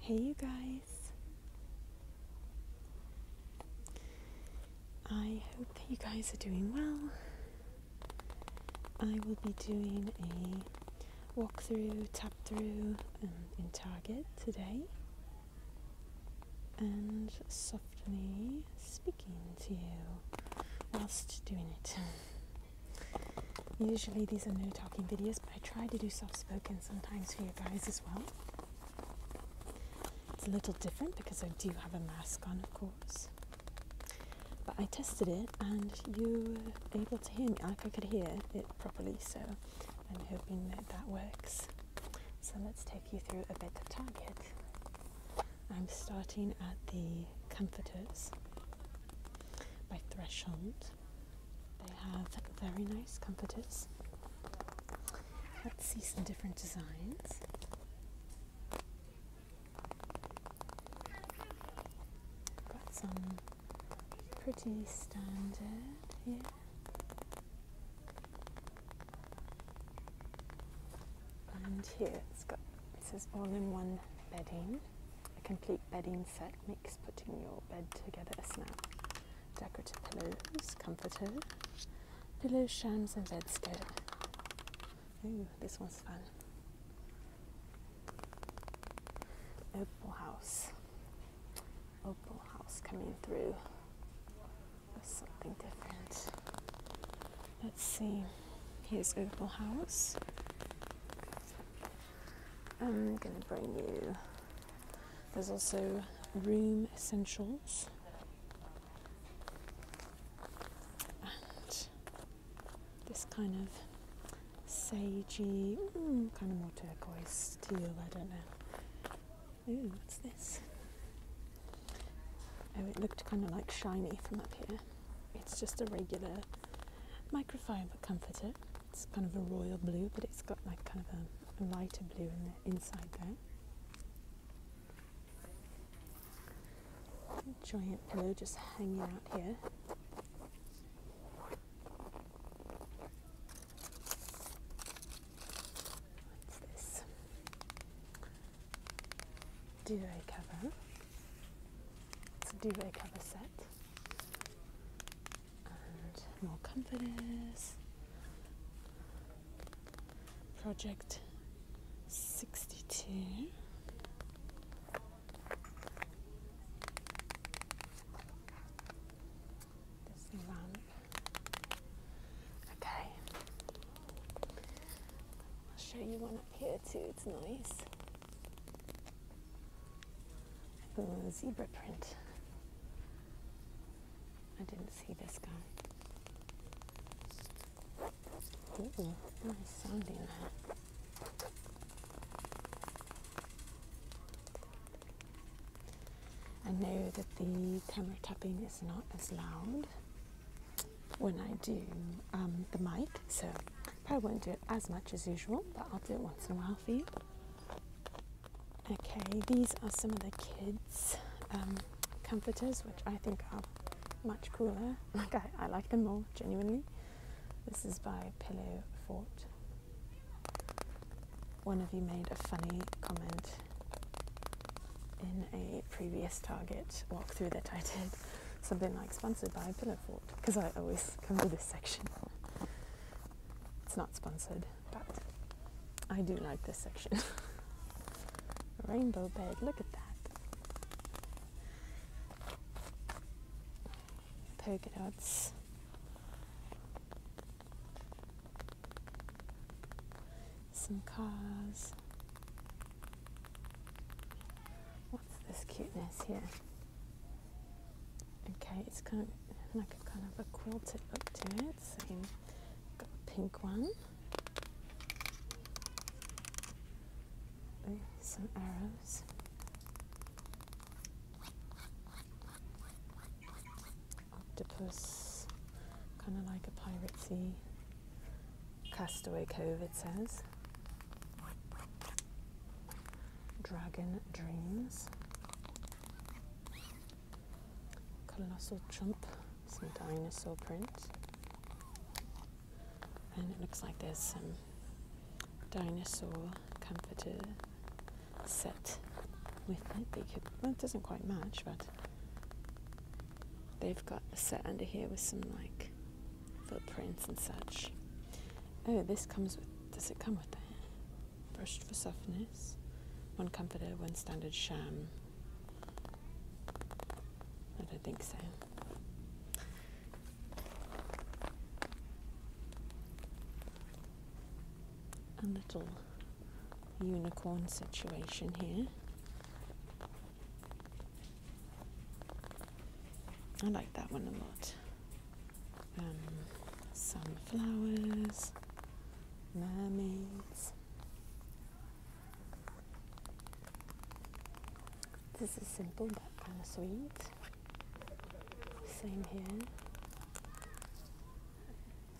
Hey, you guys. I hope that you guys are doing well. I will be doing a walkthrough, tap through um, in Target today and softly speak to you whilst doing it. Usually these are no talking videos, but I try to do soft spoken sometimes for you guys as well. It's a little different because I do have a mask on, of course. But I tested it and you were able to hear me, like I could hear it properly, so I'm hoping that that works. So let's take you through a bit of target. I'm starting at the Comforters by Threshold. They have very nice comforters. Let's see some different designs. Got some pretty standard here. And here it's got this is all in one bedding, a complete bedding set makes putting your bed together a snap. Decorative pillows, comforter, pillows, shams, and bedstead. Ooh, this one's fun. Opal House. Opal House coming through something different. Let's see. Here's Opal House. I'm gonna bring you. There's also Room Essentials. And this kind of sagey, kind of more turquoise teal, I don't know. Ooh, what's this? Oh, it looked kind of like shiny from up here. It's just a regular microfiber comforter. It's kind of a royal blue, but it's got like kind of a, lighter blue in the inside there. Giant pillow just hanging out here. What's this? duvet cover. duvet cover set. more comforters. Project 62. This lamp. Okay. I'll show you one up here too, it's nice. zebra print. I didn't see this guy. Ooh, nice sounding that. I know that the camera tapping is not as loud when I do um, the mic. So I won't do it as much as usual, but I'll do it once in a while for you. Okay, these are some of the kids' um, comforters, which I think are much cooler. Like I, I like them more, genuinely. This is by Pillow Fort. One of you made a funny comment in a previous Target walkthrough that I did, something like sponsored by Pillowfort, because I always come to this section. It's not sponsored, but I do like this section. Rainbow bed, look at that. Polka some cars. What's this cuteness here? Okay, it's kind of like a kind of a quilted look to it. Same, got a pink one. some arrows. Octopus, kind of like a pirate sea. Castaway Cove, it says. Dragon Dreams. Colossal Chump, some dinosaur print. And it looks like there's some dinosaur comforter set with it. They it doesn't quite match, but They've got a set under here with some like footprints and such. Oh, this comes with. Does it come with that? Brushed for softness. One comforter, one standard sham. I don't think so. A little unicorn situation here. I like that one a lot. Um, sunflowers, mermaids. This is simple but kind of sweet. Same here.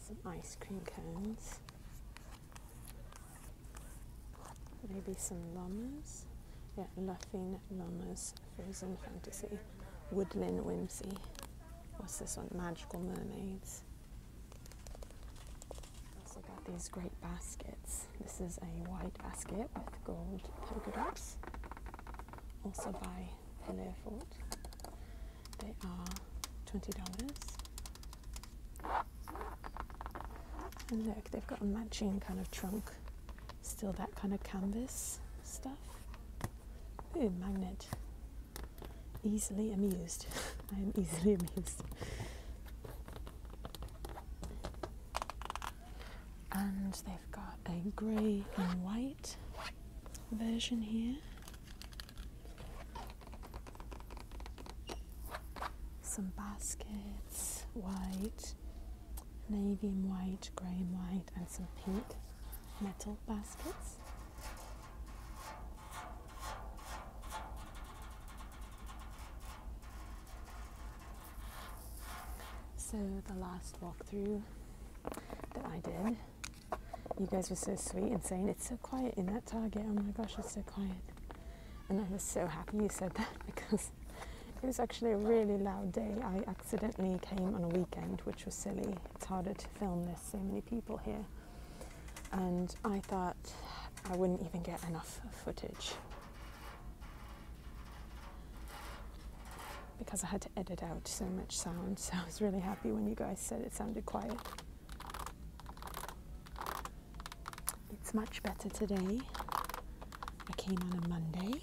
Some ice cream cones. Maybe some llamas. Yeah, laughing llamas, frozen fantasy, woodland whimsy. What's this one? Magical mermaids. Also got these great baskets. This is a white basket with gold polka dots, also by Pillowfort. They are twenty dollars. And look, they've got a matching kind of trunk, still that kind of canvas stuff. Ooh, magnet. Easily amused. I am easily amused. And they've got a grey and white version here. Some baskets, white, navy and white, grey and white, and some pink metal baskets. So the last walkthrough that I did, you guys were so sweet and saying it's so quiet in that Target. Oh my gosh, it's so quiet. And I was so happy you said that because it was actually a really loud day. I accidentally came on a weekend, which was silly. It's harder to film, this; so many people here. And I thought I wouldn't even get enough footage because I had to edit out so much sound. So I was really happy when you guys said it sounded quiet. It's much better today. I came on a Monday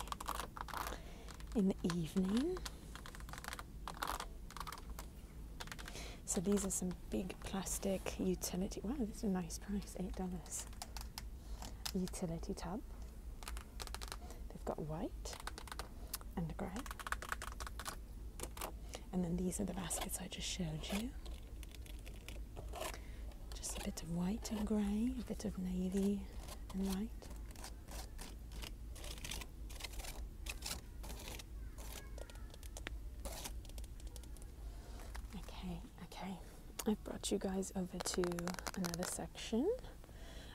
in the evening. So these are some big plastic utility. Wow, it's a nice price, eight dollars. Utility tub. They've got white and grey. And then these are the baskets I just showed you. Just a bit of white and grey, a bit of navy and white. Okay, okay. I've brought you guys over to another section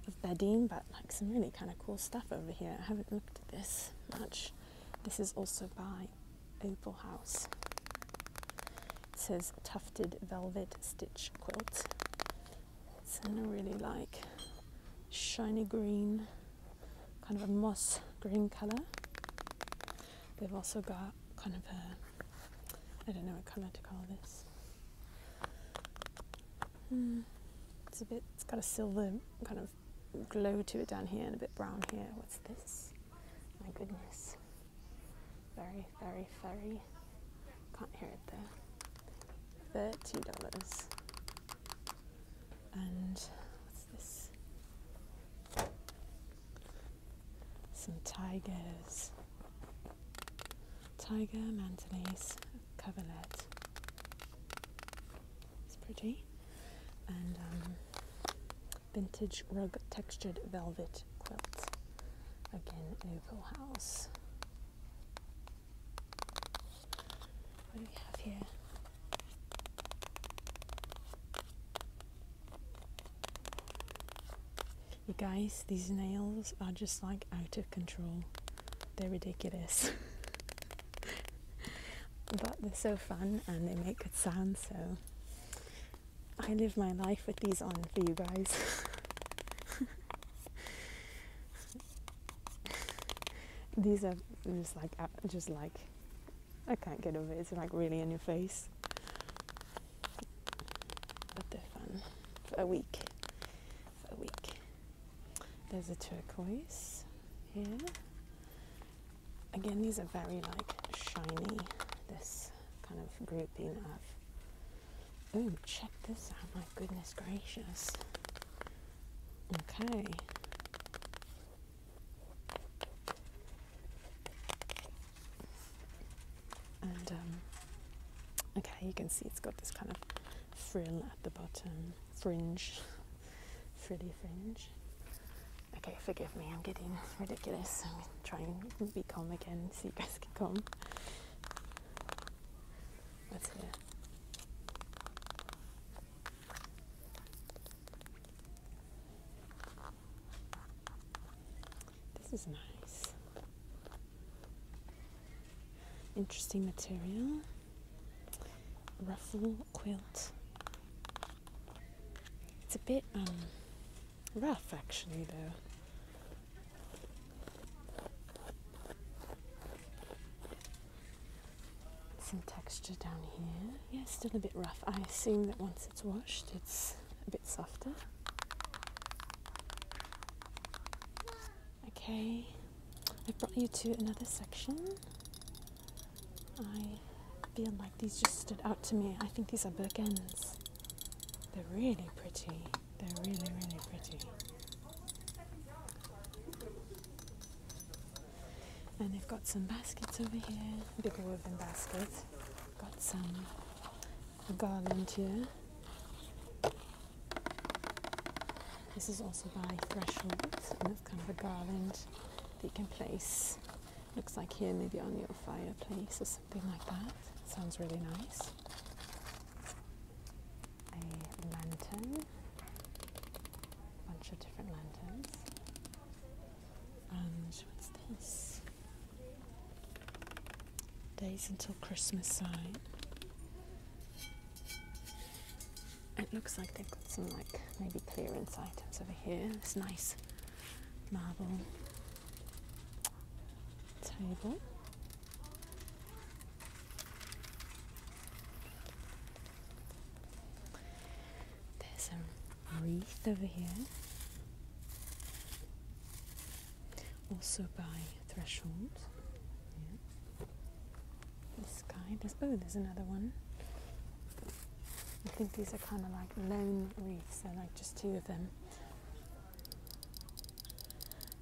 of bedding, but like some really kind of cool stuff over here. I haven't looked at this much. This is also by Opal House. It says tufted velvet stitch quilt. It's in a really like shiny green, kind of a moss green colour. They've also got kind of a, I don't know what kind of to call this. Hmm, it's a bit, it's got a silver kind of glow to it down here and a bit brown here. What's this? My goodness. Very, very, very. Can't hear it there. Thirty dollars. And what's this? Some tigers. Tiger mantelise coverlet. It's pretty. And um, vintage rug textured velvet quilt. Again, Noble House. What do we have here? You guys, these nails are just like out of control. They're ridiculous. but they're so fun and they make good sound. so I live my life with these on for you guys. these are just like, uh, just like, I can't get over it. It's like really in your face. But they're fun for a week. For a week. There's a turquoise here again, these are very like shiny. This kind of grouping of. Oh, check this out! My goodness gracious. Okay. And um, okay, you can see it's got this kind of frill at the bottom, fringe, frilly fringe. Okay, forgive me, I'm getting ridiculous. I'm trying to be calm again so you guys can come. What's here? This is nice. Interesting material. Ruffle quilt. It's a bit um, rough actually though. Some texture down here. Yeah, still a bit rough. I assume that once it's washed it's a bit softer. Okay, I've brought you to another section I feel like these just stood out to me. I think these are bookends. They're really pretty. They're really, really pretty. And they've got some baskets over here, big woven baskets. Got some garland here. This is also by Threshold, and it's kind of a garland that you can place Looks like here maybe on your fireplace or something like that. Sounds really nice. A lantern, a bunch of different lanterns. And what's this? Days until Christmas sign. It looks like they've got some like maybe clearance items over here. This nice marble table. There's a wreath over here. Also by threshold. This guy. oh, there's another one. I think these are kind of like lone wreaths, they're like just two of them.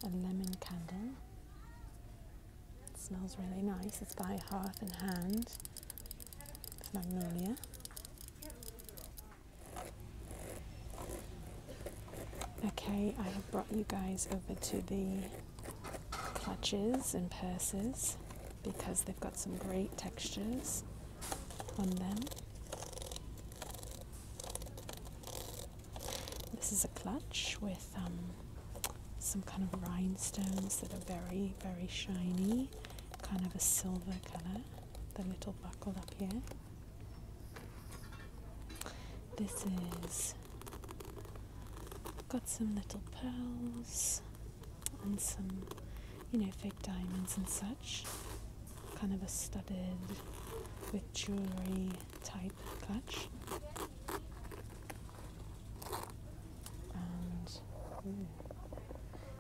A lemon candle. It smells really nice. It's by Hearth and Hand. magnolia. Okay, I have brought you guys over to the clutches and purses because they've got some great textures on them. This is a clutch with um, some kind of rhinestones that are very, very shiny, kind of a silver color. The little buckle up here. This is got some little pearls and some, you know, fake diamonds and such. Kind of a studded with jewellery type clutch. And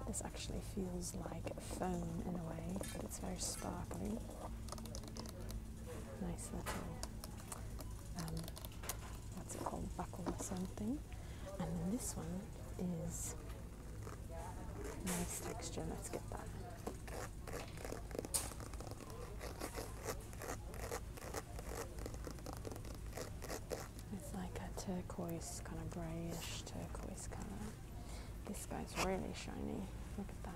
this actually feels like foam in a way, but it's very sparkly. Nice little, um, what's it called, buckle or something and then this one is nice texture. Let's get that. It's like a turquoise, kind of greyish turquoise colour. This guy's really shiny. Look at that.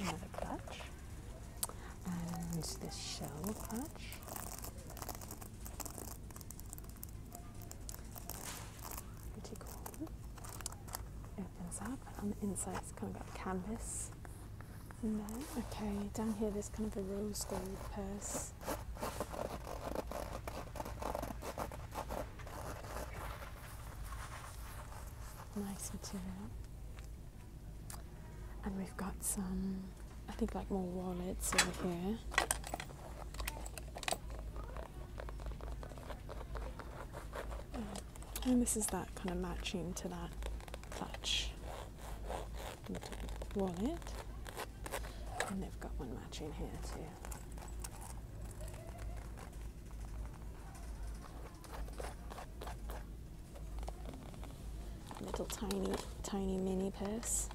Another clutch. And this shell clutch. Pretty cool. Opens up and on the inside it's kind of got canvas Okay, down here there's kind of a rose gold purse nice material. And we've got some, I think, like more wallets over here. Um, and this is that kind of matching to that clutch wallet. And they've got one matching here too. Little tiny, tiny mini purse.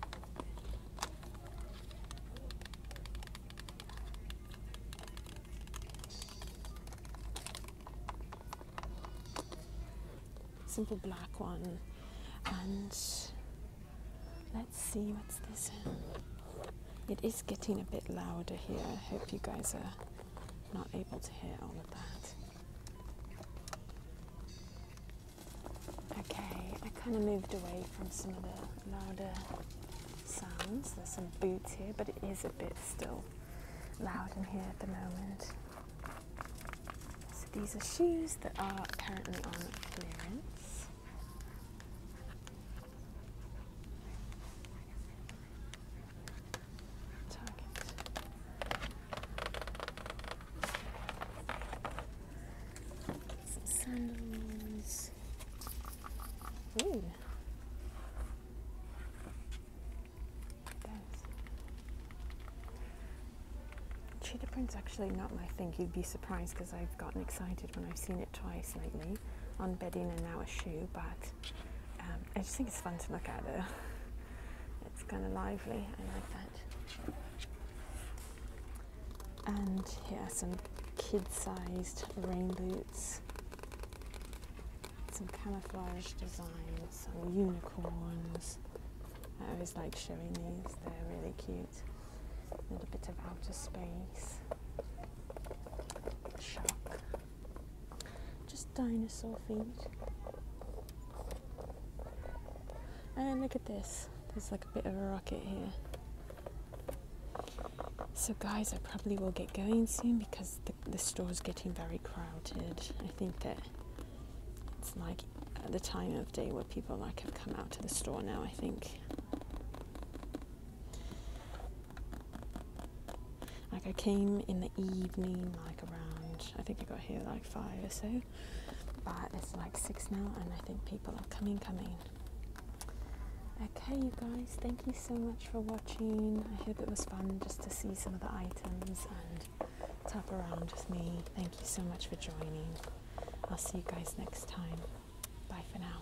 Simple black one. And let's see what's this. It is getting a bit louder here. I hope you guys are not able to hear all of that. Okay, I kind of moved away from some of the louder sounds. There's some boots here, but it is a bit still loud in here at the moment. So these are shoes that are apparently on clearance sandals. Ooh. Cheetah print's actually not my thing. You'd be surprised because I've gotten excited when I've seen it twice lately on bedding and now a shoe, but um, I just think it's fun to look at it. It's kind of lively, I like that. And here are some kid-sized rain boots. Some camouflage designs, some unicorns. I always like showing these, they're really cute. A little bit of outer space. Shock. Just dinosaur feet. And look at this. There's like a bit of a rocket here. So guys, I probably will get going soon because the, the store's getting very crowded. I think that it's like at the time of day where people like have come out to the store now, I think. Like I came in the evening, like around, I think I got here like five or so, but it's like six now, and I think people are coming, coming. Okay, you guys, thank you so much for watching. I hope it was fun just to see some of the items and tap around with me. Thank you so much for joining. I'll see you guys next time. Bye for now.